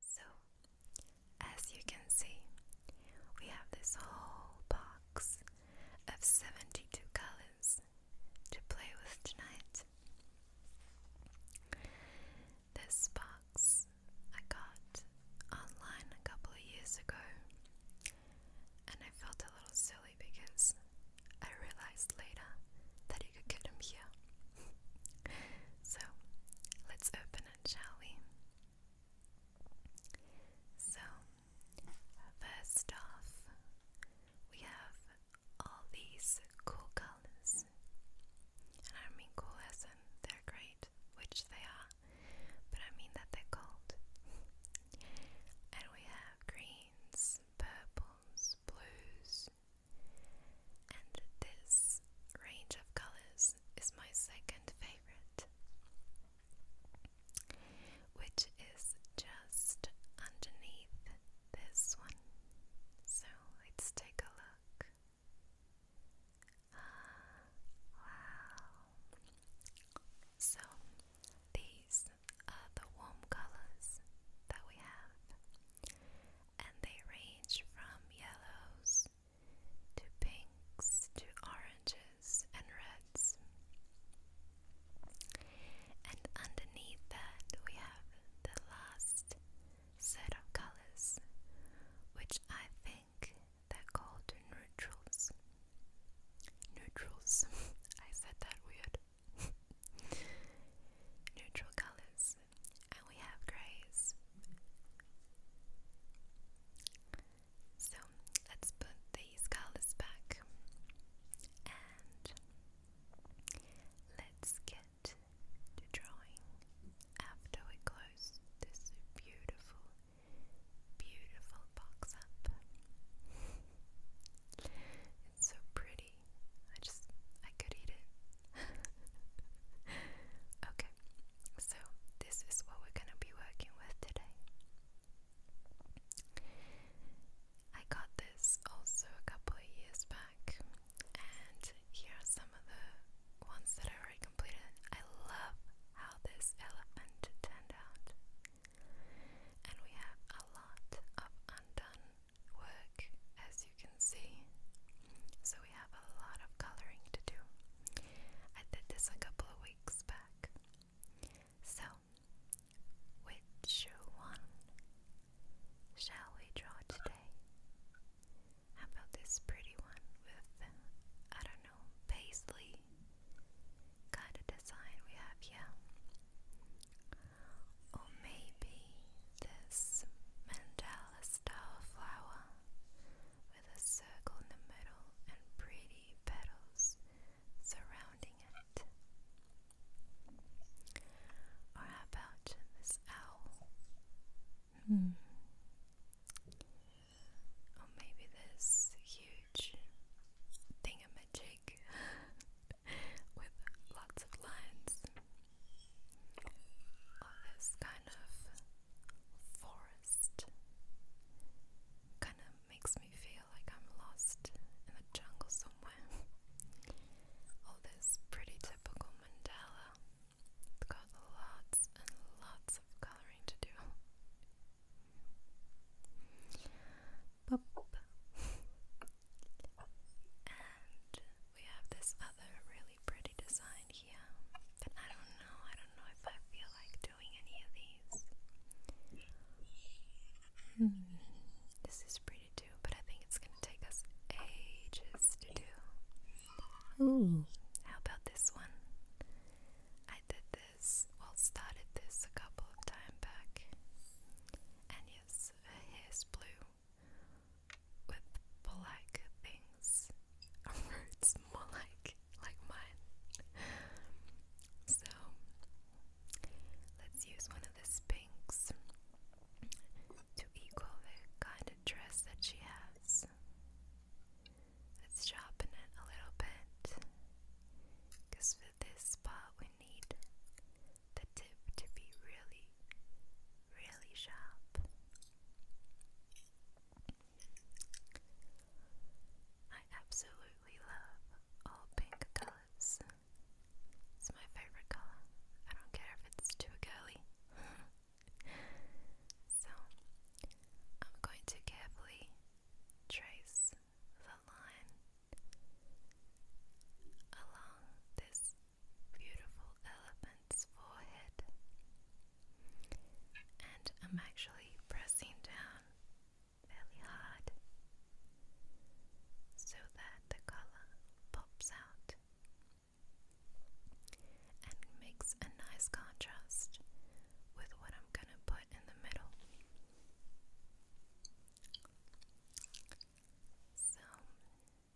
So, as you can see, we have this whole box of 72 colors to play with tonight. This box I got online a couple of years ago, and I felt a little silly because I realized later that you could get them here. So let's open it, shall we? So, first off, we have all these cool colors. And I mean cool as in they're great, which they are, but I mean that they're cold. and we have greens, purples, blues, and this range of colors is my second favorite, which is just underneath this one. So let's take a look. Ah, wow. So these are the warm colors that we have and they range from yellows to pinks to oranges and reds. And underneath that, we have the last set of colors, which I think they're called neutrals. Neutrals. I said that weird neutral colors, and we have grays. So let's put these colors back and let's get to drawing after we close this beautiful, beautiful box up so pretty. I just, I could eat it. okay, so this is what we're gonna be working with today. I got this also a couple of years back, and here are some of the ones that I already completed. I love how this elephant turned out, and we have a lot of undone work as you can see. So we have a lot of coloring to do. I did this a couple of weeks back. So, which one shall we draw today? How about this pretty one with, I don't know, paisley kind of design we have here? Or maybe this mandala style flower with a circle in the middle and pretty petals surrounding it. Or about this owl? Hmm. Or maybe this huge thingamajig with lots of lines of this kind of forest kind of makes me feel like I'm lost in the jungle somewhere. All this pretty typical mandala. got lots and lots of coloring to do. Boop. And we have this other really pretty design here. But I don't know, I don't know if I feel like doing any of these. Hmm, this is pretty too, but I think it's gonna take us ages to do. Ooh. How about this one? I did this, well, started this a couple of time back. And yes, uh, her blue with black things roots more like like mine. So let's use one of these pinks to equal the kind of dress that she has. Let's sharpen it a little bit because for this part we need the tip to be really, really sharp. I absolutely love all pink colors. It's my favorite color. I don't care if it's too girly. so, I'm going to carefully trace the line along this beautiful elephant's forehead. And I'm actually pressing down fairly hard so that the color pops out and makes a nice contrast with what I'm going to put in the middle. So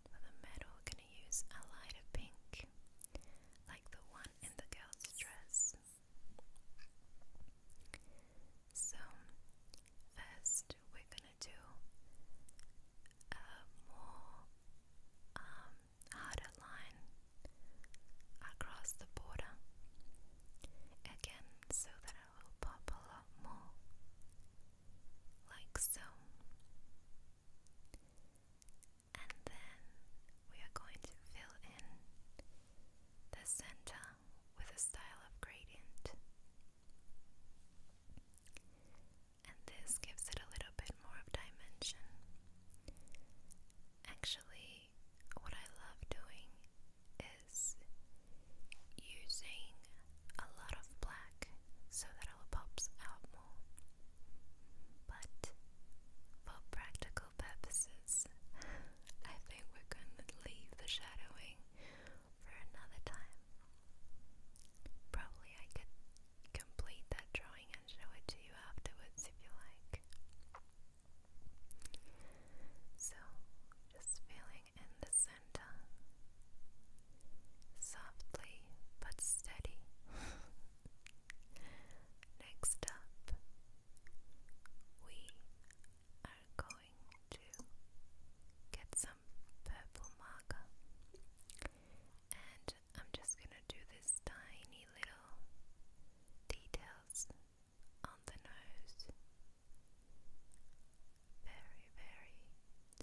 for the metal gonna use a lighter pink like the one in the girl's dress. So first we're gonna do a more um, harder line across the border again so that it will pop a lot more like so. And then we are going to fill in the center with a style of gradient. And this gives it a little bit more of dimension. Actually, what I love doing is using a lot of black so that it pops out more. But for practical purposes, I think we're going to leave the shadowing for another time. Probably I could complete that drawing and show it to you afterwards if you like. So, just feeling in the center, softly but steady. Next up, we are going to get some purple marker, and I'm just gonna do this tiny little details on the nose. Very, very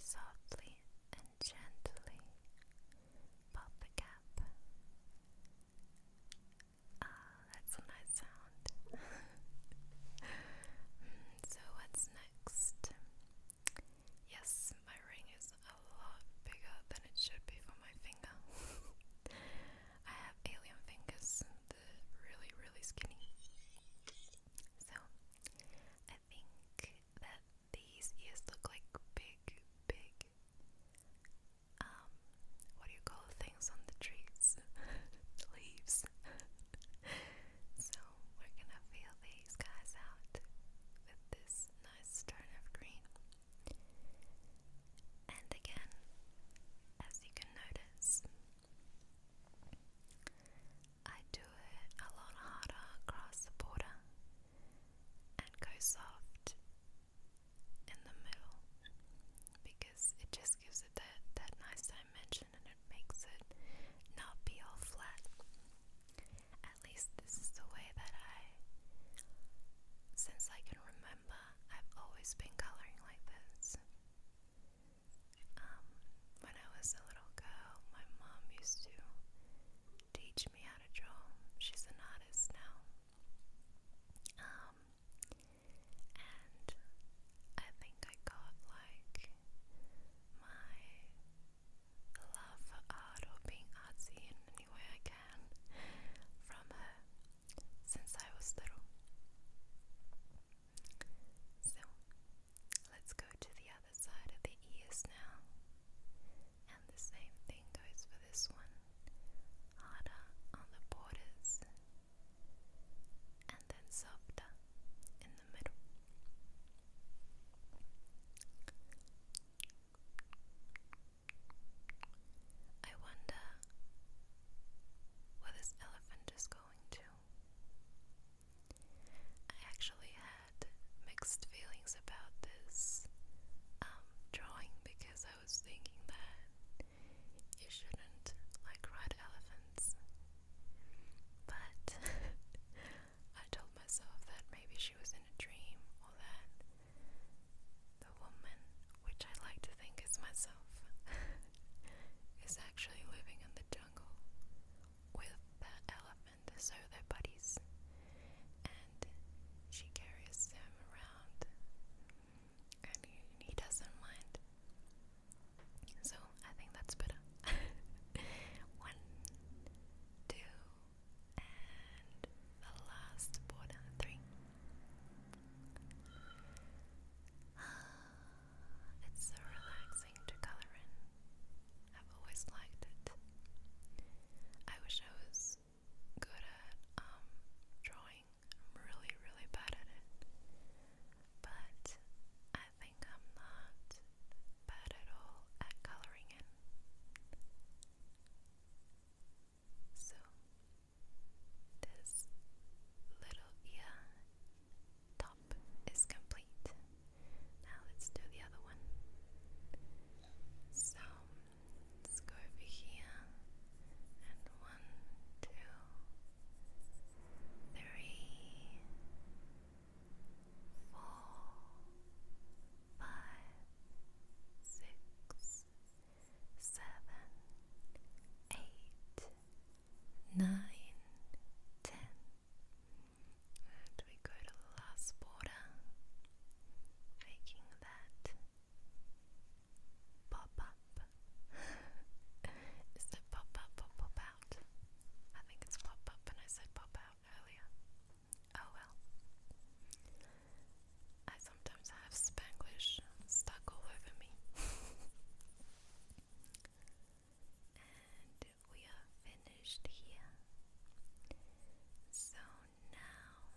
softly and gently pop the cap. Ah, that's a nice sound. so, what's next? Yes, my ring is a lot bigger than it should be for my finger. I have alien fingers, they're really, really skinny. So, I think that these ears look like big, big, um, what do you call things on the trees? Leaves. so, we're gonna fill these guys out with this nice turn of green. And again, as you can notice, I do it a lot harder across the border and go soft in the middle because it just gives it that, that nice dimension and it makes it not be all flat. At least this is the way that I, since I can remember, I've always been colouring like this. Um, when I was a little girl, my mom used to teach me how to draw. She's an artist now. Um, and I think I got like my love for art or being artsy in any way I can from her since I was little. So let's go to the other side of the ears now. And the same thing goes for this one. Harder on the borders and then softer in the middle. I wonder where this elephant is going to. I actually had mixed feelings about this um, drawing because I was thinking that you shouldn't like ride elephants. But I told myself that maybe she was in a dream or that the woman, which I like to think is myself, is actually living in the jungle with the elephant, so their buddies. And she carries them around, and he, he doesn't mind. So I think that's better. One, two, and the last border, three. Ah. It's so relaxing to color in. I've always liked it. I wish I was good at um, drawing. I'm really, really bad at it. But I think I'm not bad at all at coloring in. So this little ear top is complete. Now let's do the other one. So let's go over here and one, two, three, seven, eight, nine, ten. And we go to the last border, making that pop up. Is it pop up or pop out? I think it's pop up, and I said pop out earlier. Oh well. I sometimes have Spanglish stuck all over me. And we are finished here. So now,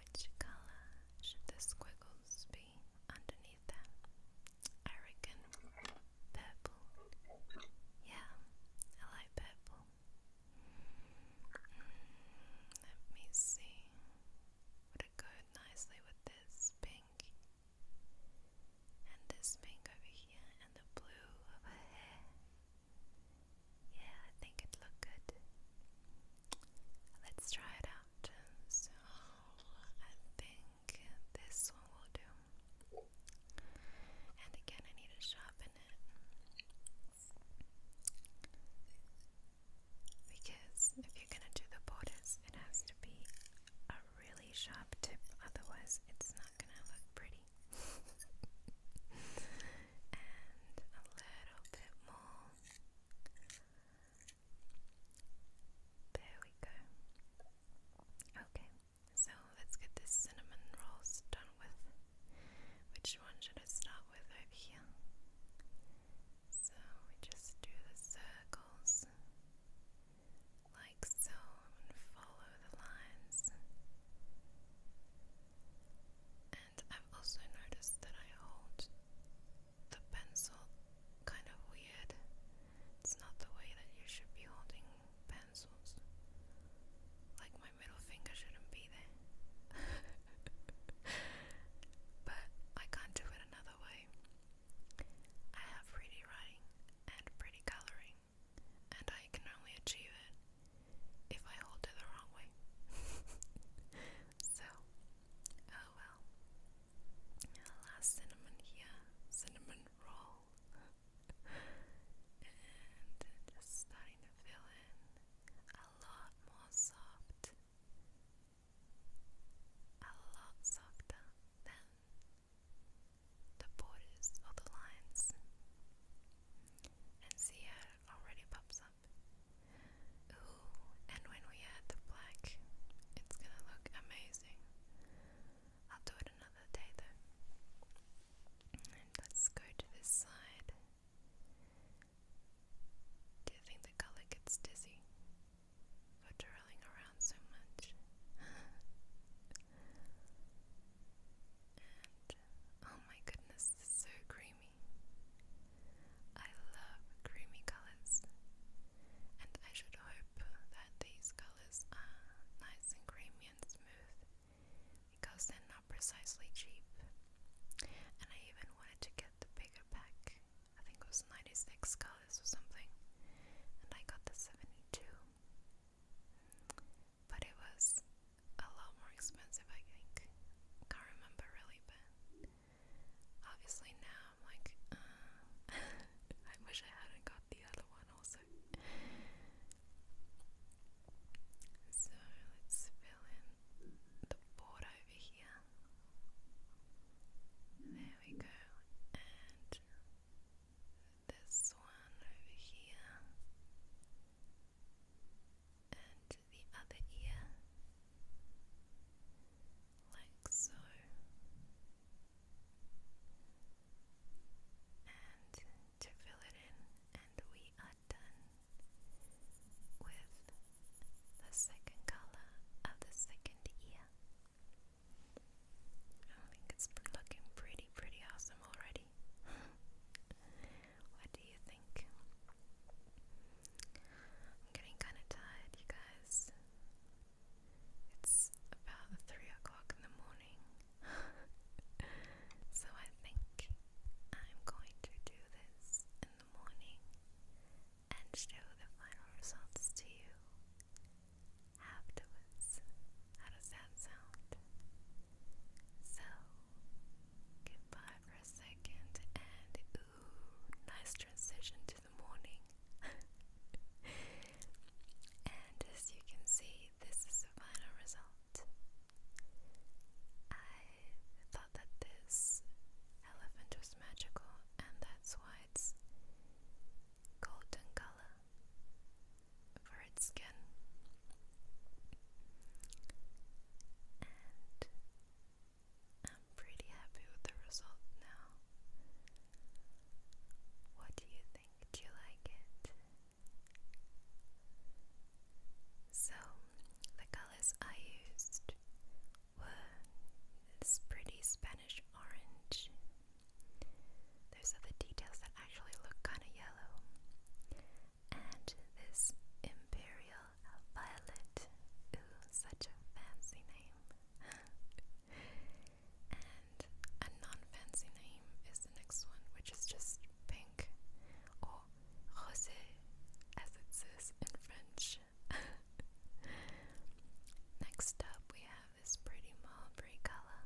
which color should the squiggles be underneath them? I reckon purple. Yeah, I like purple. Hmm, let me see. Would it go paired nicely with this pink and this pink over here and the blue over here. Yeah, I think it looked good. Let's try it out. So I think this one will do. And again, I need to sharpen it. Because if you're going to do the borders, it has to be a really sharp tip, otherwise, it's not going to look pretty. and a little bit more. There we go. Okay, so let's get this cinnamon rolls done with. Which one should I start with over here? So we just do the circles like so and follow the lines. And I've also noticed that I hold the pencil kind of weird. It's not the way that you should be holding pencils. Like my middle finger shouldn't be there. but I can't do it another way. I have pretty writing and pretty colouring, and I can only achieve it if I hold it the wrong way. so, oh well. last cinnamon here, cinnamon roll. and starting to fill in a lot more soft a lot softer than the borders or the lines. And see it already pops up. Ooh, and when we add the black, it's gonna look amazing. I'll do it another day though. let's go to this side. Do you think the color gets dizzy for twirling around so much? oh my goodness, so creamy. I love creamy colors, and I should hope that these colors are nice and creamy and smooth because they're not precisely cheap. And I even wanted to get the bigger pack. I think it was 96 colors or something. And I got the 72. But it was a lot more expensive, I think. Can't remember really, but obviously now I'm like, uh, I wish I hadn't got the other one also. So let's fill in the Bordeaux over here. There we go. And this one over here. And the other ear. Like so. And to fill it in, and we done with the second color of the second ear. I think it's looking pretty, pretty awesome already. what do you think? I'm getting kind of tired, you guys. It's about 3 o'clock in the morning. so I think I'm going to do this in morning and show the final results to you afterwards. How does that sound? So, goodbye for a second and ooh, nice transition to the morning. and as you can see, this is the final result. I thought that this elephant was magical, and that's why it's golden color for its skin. I'm pretty happy with the result now. What do you think? Do you like it? So the colors I used were this pretty Spanish orange. Those are the details that actually look kind of yellow. And this imperial violet. such a fancy name. and a non fancy name is the next one, which is just pink or rosé as it says in French. Next up, we have this pretty mulberry color.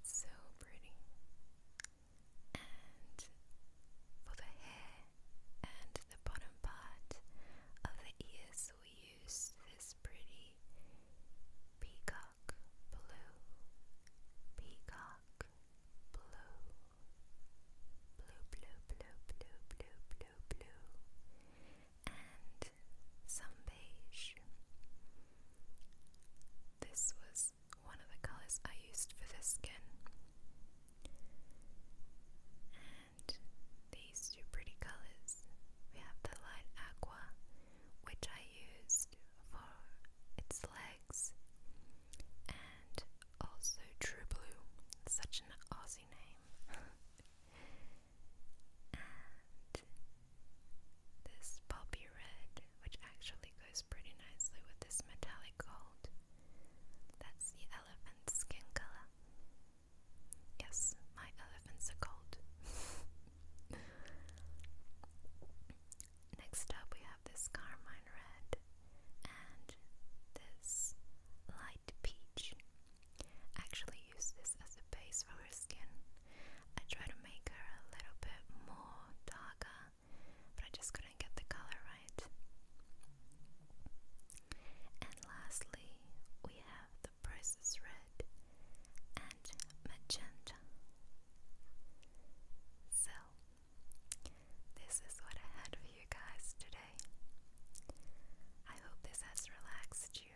It's so pretty. And for the hair and the bottom part of the ears, we use this pretty peacock blue, peacock blue, blue, blue, blue, blue, blue, blue, and some beige. This was one of the colors I used for this skin. And these two pretty colors. We have the light aqua, which I used for its legs, and also True Blue, such an Aussie name. and this poppy red, which actually goes pretty nicely with this metallic gold. That's the elephant's skin color. Yes, my elephants are gold. Next up we have this carmine red and this light peach. actually use this as a base for her skin. I tried to make her a little bit more darker, but I just couldn't get the color right. And lastly, we have the Princess Red and Magenta. So, this is what I had for you guys today. I hope this has relaxed you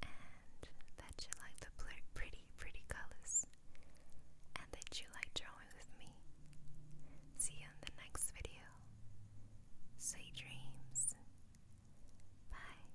and that you like the pretty, pretty colors and that you like drawing with me. See you in the next video. Sweet dreams. Bye.